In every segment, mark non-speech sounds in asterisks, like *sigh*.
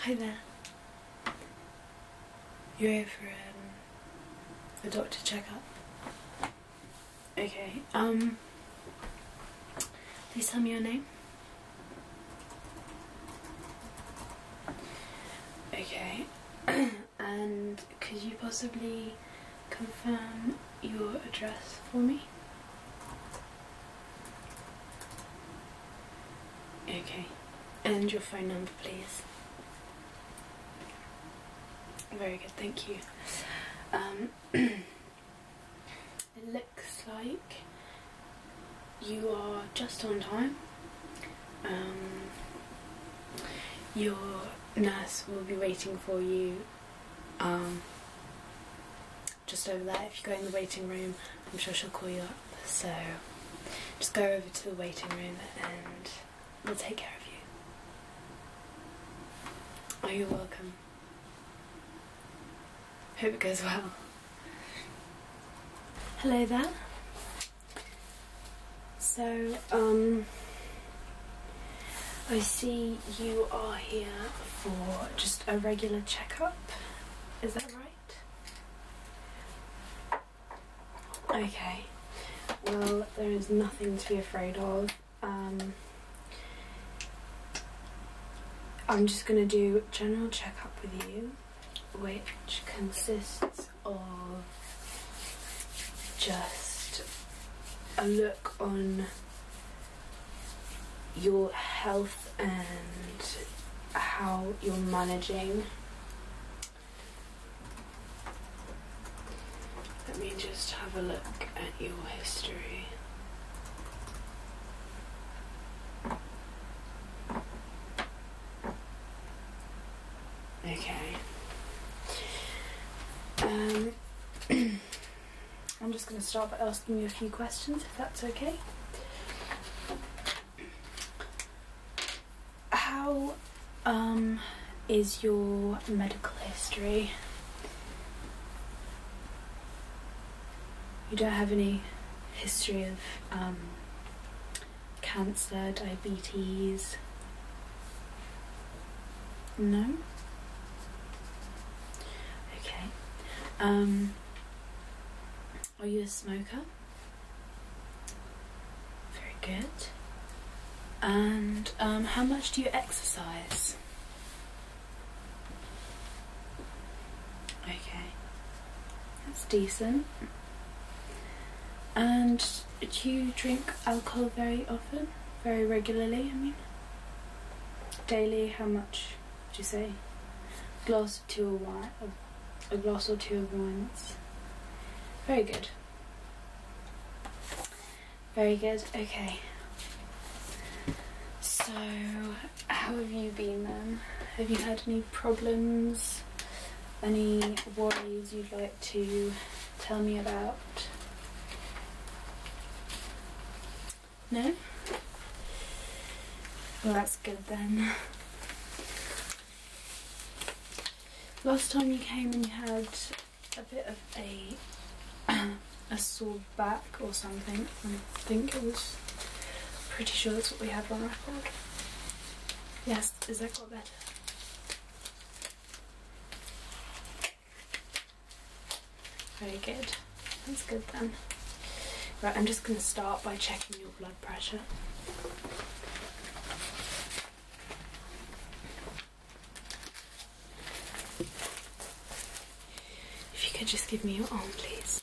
Hi there. You're here for a um, doctor checkup. Okay. Um. Please tell me your name. Okay. *clears throat* and could you possibly confirm your address for me? Okay, and your phone number, please. Very good, thank you. Um, *clears throat* it looks like you are just on time. Um, your nurse will be waiting for you um, just over there. If you go in the waiting room, I'm sure she'll call you up. So just go over to the waiting room and we'll take care of you. Oh, you're welcome. Hope it goes well. Hello there. So, um, I see you are here for just a regular checkup, is that right? Okay, well, there is nothing to be afraid of. Um, I'm just going to do general checkup with you, which consists or just a look on your health and how you're managing. Let me just have a look at your history. Okay. Um, *clears throat* I'm just going to start by asking you a few questions, if that's okay. How um, is your medical history? You don't have any history of um, cancer, diabetes. No? Okay. Um, are you a smoker? Very good. And um, how much do you exercise? Okay. That's decent. And do you drink alcohol very often? Very regularly, I mean? Daily, how much do you say? A glass or two of wine, a glass or two of wine. That's very good. Very good, okay. So, how have you been then? Have you had any problems? any worries you'd like to tell me about? No? Well, that's good then. Last time you came and you had a bit of a *clears throat* a sore back or something. I think it was pretty sure that's what we had on record. Yes, is that got better? Very good. That's good then. Right, I'm just going to start by checking your blood pressure. If you could just give me your arm, please.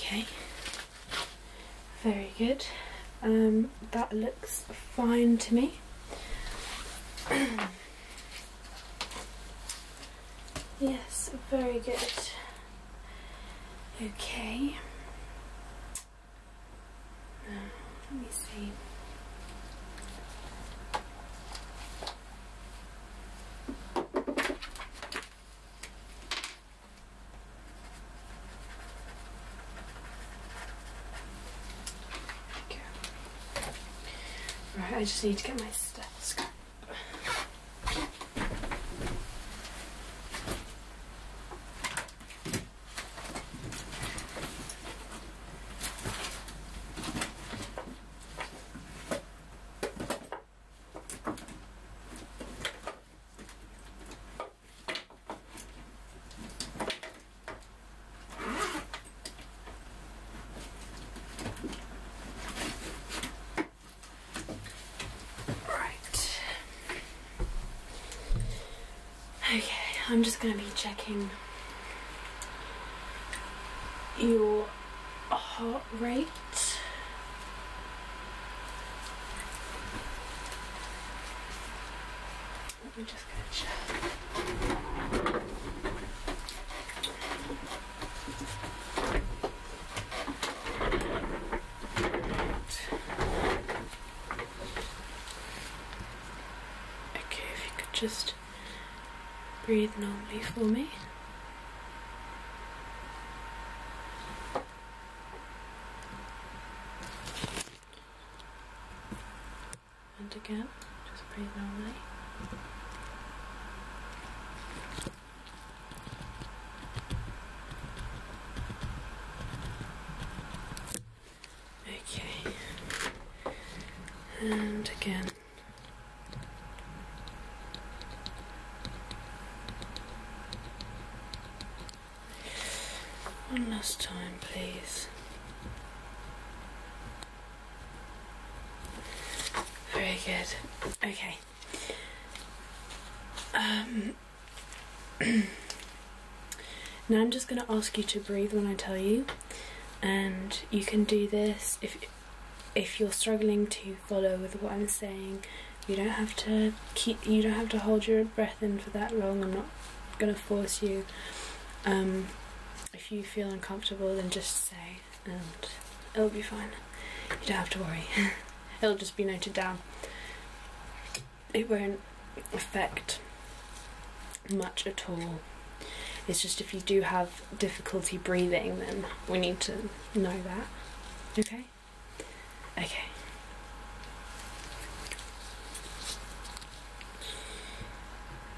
Okay, very good. Um, that looks fine to me. *clears throat* yes, very good. Okay. let me see. Okay. Right, I just need to get my stuff. Right. Okay, I'm just going to be checking your a heart rate. Let me just go check. Okay, if you could just breathe normally for me. And again, just breathe normally. Okay. And again. One last time, please. Very good. Okay. Um, *clears throat* now I'm just going to ask you to breathe when I tell you, and you can do this if if you're struggling to follow with what I'm saying, you don't have to keep you don't have to hold your breath in for that long. I'm not gonna force you. Um, if you feel uncomfortable, then just say, and it'll be fine. You don't have to worry. *laughs* it'll just be noted down. It won't affect much at all. It's just if you do have difficulty breathing, then we need to know that. Okay? Okay.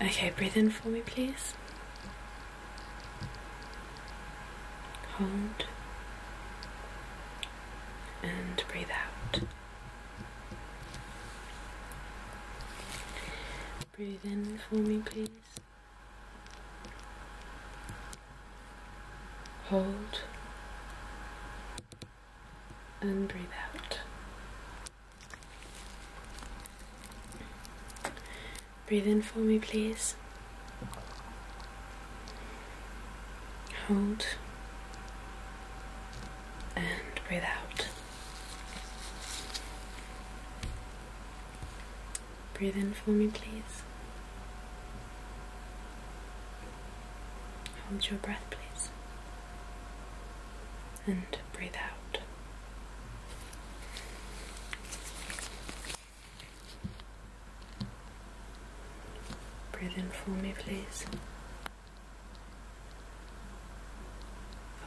Okay, breathe in for me, please. Hold. And breathe out. Breathe in for me, please. Hold and breathe out. Breathe in for me, please. Hold and breathe out. Breathe in for me, please. Hold your breath, please. And breathe out. Breathe in for me, please.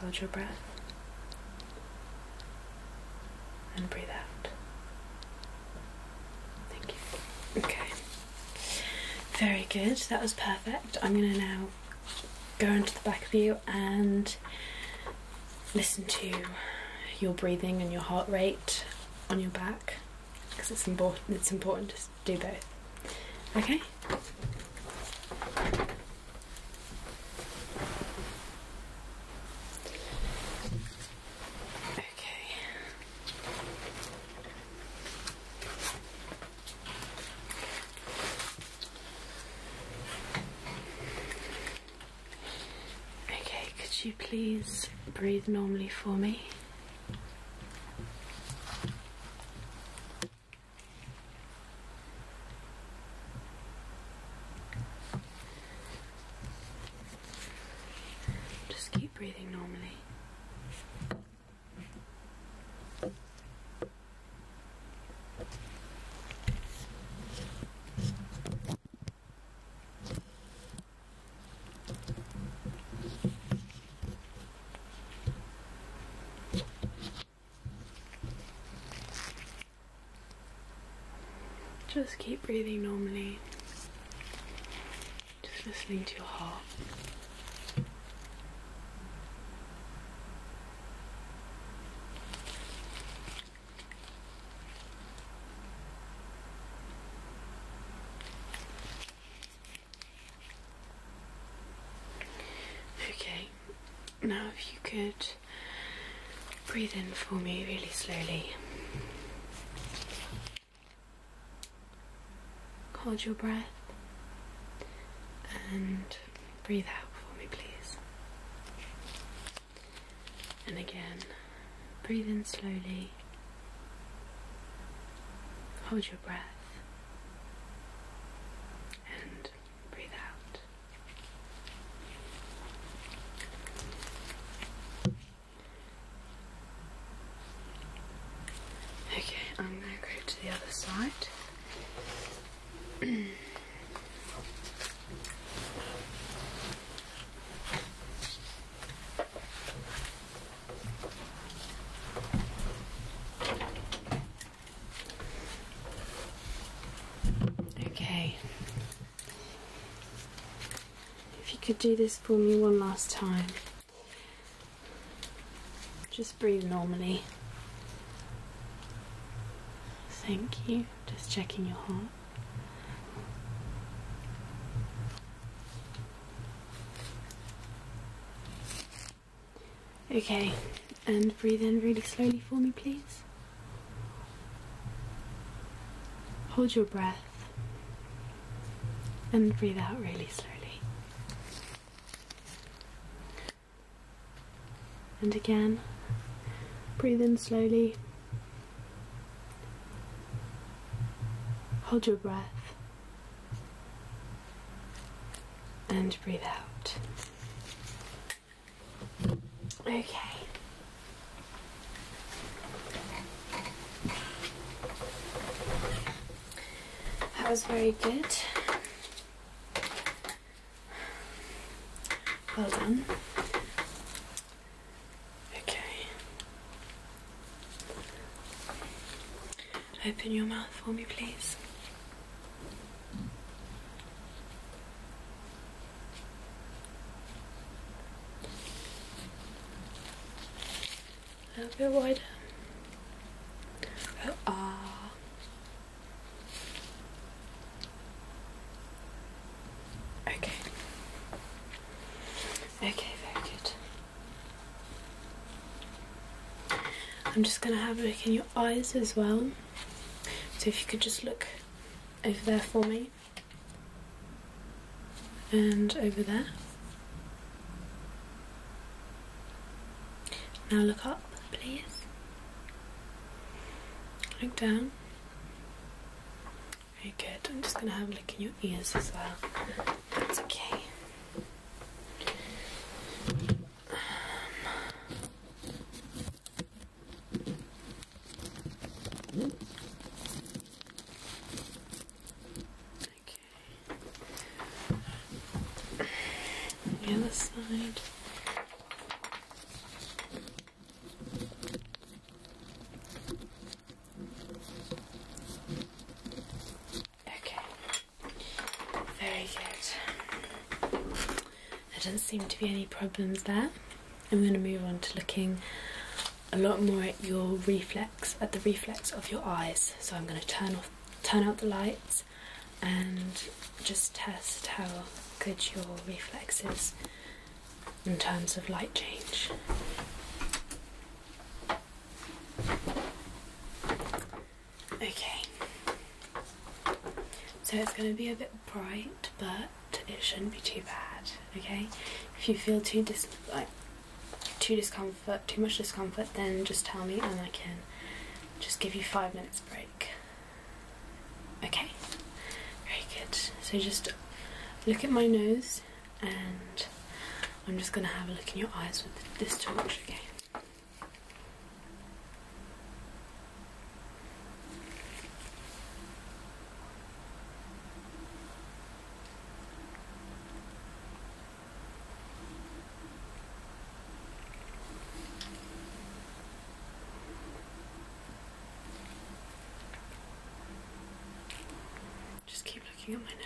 Hold your breath and breathe out. Thank you. Okay. Very good. That was perfect. I'm going to now go into the back of you and listen to your breathing and your heart rate on your back because it's important it's important to do both okay Okay. Okay, could you please breathe normally for me? Just keep breathing normally. Just keep breathing normally. Just listening to your heart. Okay, now if you could breathe in for me really slowly. Hold your breath and breathe out for me, please. And again, breathe in slowly. Hold your breath and breathe out. Okay, I'm going to go to the other side. *clears throat* Okay. If you could do this for me one last time. Just breathe normally. Thank you. Just checking your heart. Okay, and breathe in really slowly for me, please. Hold your breath and breathe out really slowly. And again, breathe in slowly. Hold your breath and breathe out. Okay. That was very good. Well done. Okay open your mouth for me, please. A little wider. Oh, ah. Okay. Okay, very good. I'm just going to have a look in your eyes as well. So if you could just look over there for me and over there. Now look up, please. Look down. Very good. I'm just going to have a look in your ears as well. That's okay. Okay. The other side. Okay. Very good. There doesn't seem to be any problems there. I'm going to move on to looking a lot more at your reflex, at the reflex of your eyes. So I'm going to turn off, turn out the lights, and just test how good your reflex is in terms of light change. Okay, so it's going to be a bit bright, but it shouldn't be too bad. Okay, if you feel too dis too discomfort, too much discomfort, then just tell me and I can just give you five minutes break. Okay, very good. So just look at my nose and I'm just going to have a look in your eyes with this torch, okay? Just keep looking at my nose.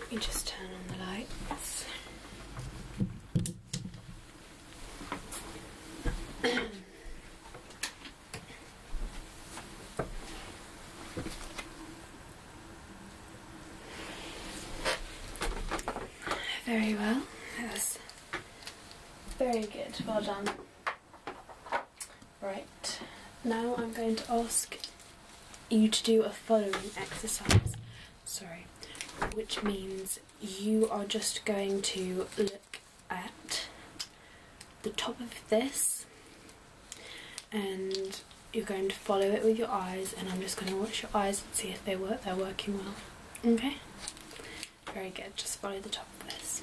Let me just turn on the lights. *coughs* very well. That was very good. Well done. Right. Now I'm going to ask you to do a following exercise sorry, which means you are just going to look at the top of this and you're going to follow it with your eyes and I'm just going to watch your eyes and see if they work, they're working well. Okay? Very good, just follow the top of this.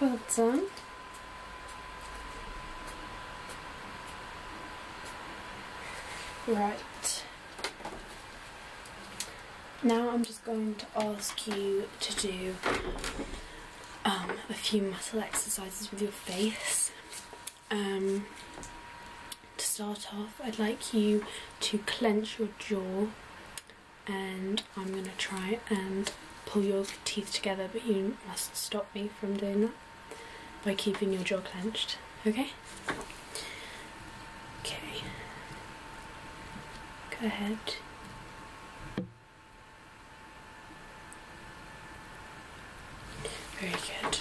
Well done. Right. Now I'm just going to ask you to do um, a few muscle exercises with your face. Um, to start off, I'd like you to clench your jaw and I'm going to try and pull your teeth together but you must stop me from doing that by keeping your jaw clenched, okay? Okay, go ahead. Very good.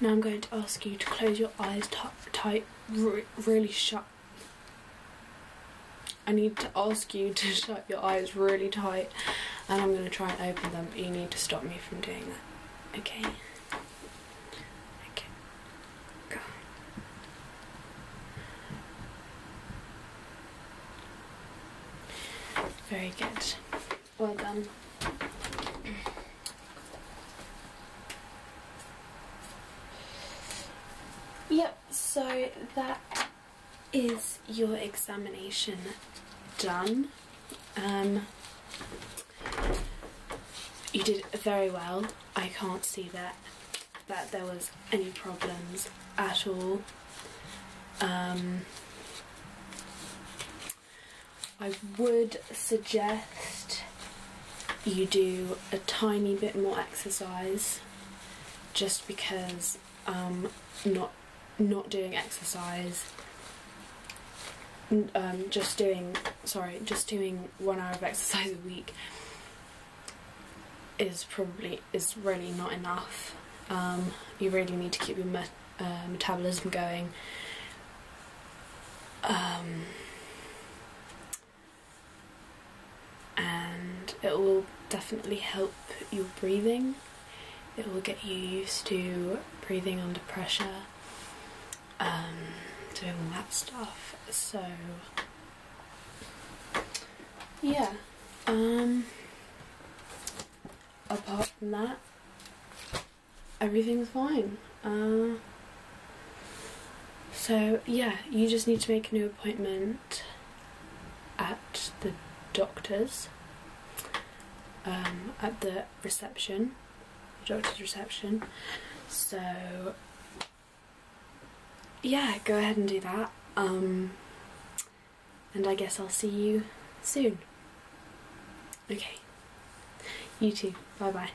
Now I'm going to ask you to close your eyes tight, really shut I need to ask you to *laughs* shut your eyes really tight and I'm going to try and open them. But You need to stop me from doing that. Okay? Okay. Go. Very good. Well done. Yep, so that is your examination done. Um, you did very well. I can't see that that there was any problems at all. Um, I would suggest you do a tiny bit more exercise just because um, not not doing exercise um, just doing sorry just doing one hour of *laughs* exercise a week is probably is really not enough um, you really need to keep your uh, metabolism going and it will definitely help your breathing. It will get you used to breathing under pressure, um, doing all that stuff. So, yeah. Um, apart from that, everything's fine. Uh, so, yeah, you just need to make a new appointment at the doctor's, um, at the reception, doctor's reception. So, yeah, go ahead and do that. Um, and I guess I'll see you soon. Okay. You too. Bye bye.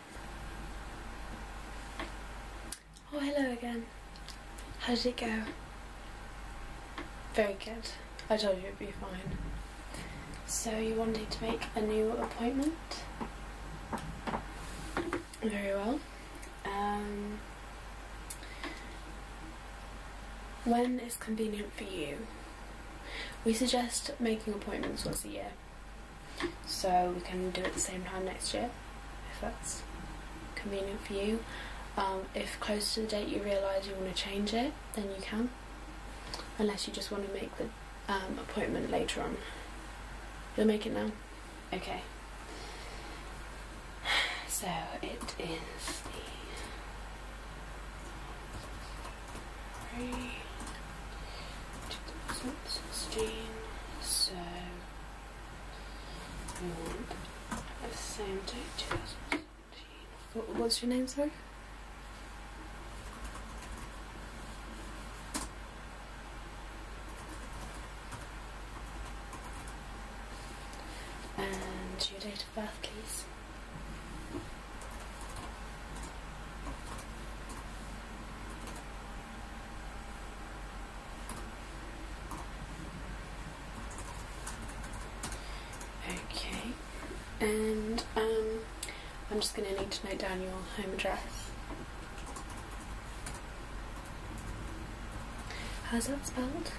Oh, hello again. How did it go? Very good. I told you it'd be fine. So you wanted to make a new appointment? Very well. Um, when is convenient for you? We suggest making appointments once a year so we can do it the same time next year if that's convenient for you. Um, if close to the date you realise you want to change it, then you can, unless you just want to make the um, appointment later on. You'll make it now? Okay. *sighs* So it is the three, two thousand sixteen. So we the same date, two thousand seventeen. What your name, sir? And your date of birth, please. Okay, and um, I'm just going to need to note down your home address. How's that spelled?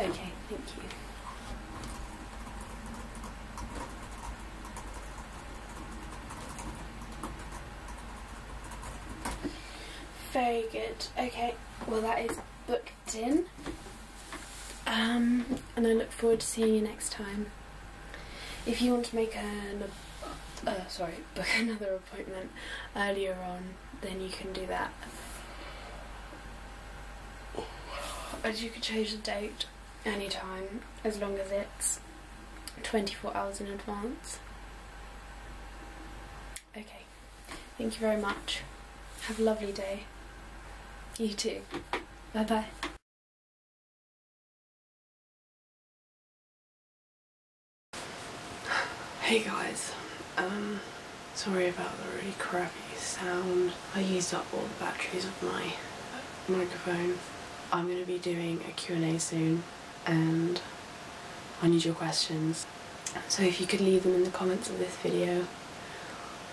Okay, thank you. Very good. Okay, well that is booked in. Um, and I look forward to seeing you next time. If you want to make an uh, sorry, *laughs* book another appointment earlier on, then you can do that. As you can change the date anytime as long as it's 24 hours in advance. Okay, thank you very much. Have a lovely day. You too. Bye bye. Hey guys, um, sorry about the really crappy sound. I used up all the batteries of my microphone. I'm going to be doing a Q&A soon and I need your questions. So if you could leave them in the comments of this video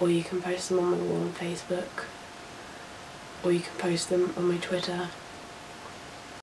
or you can post them on my wall on Facebook or you can post them on my Twitter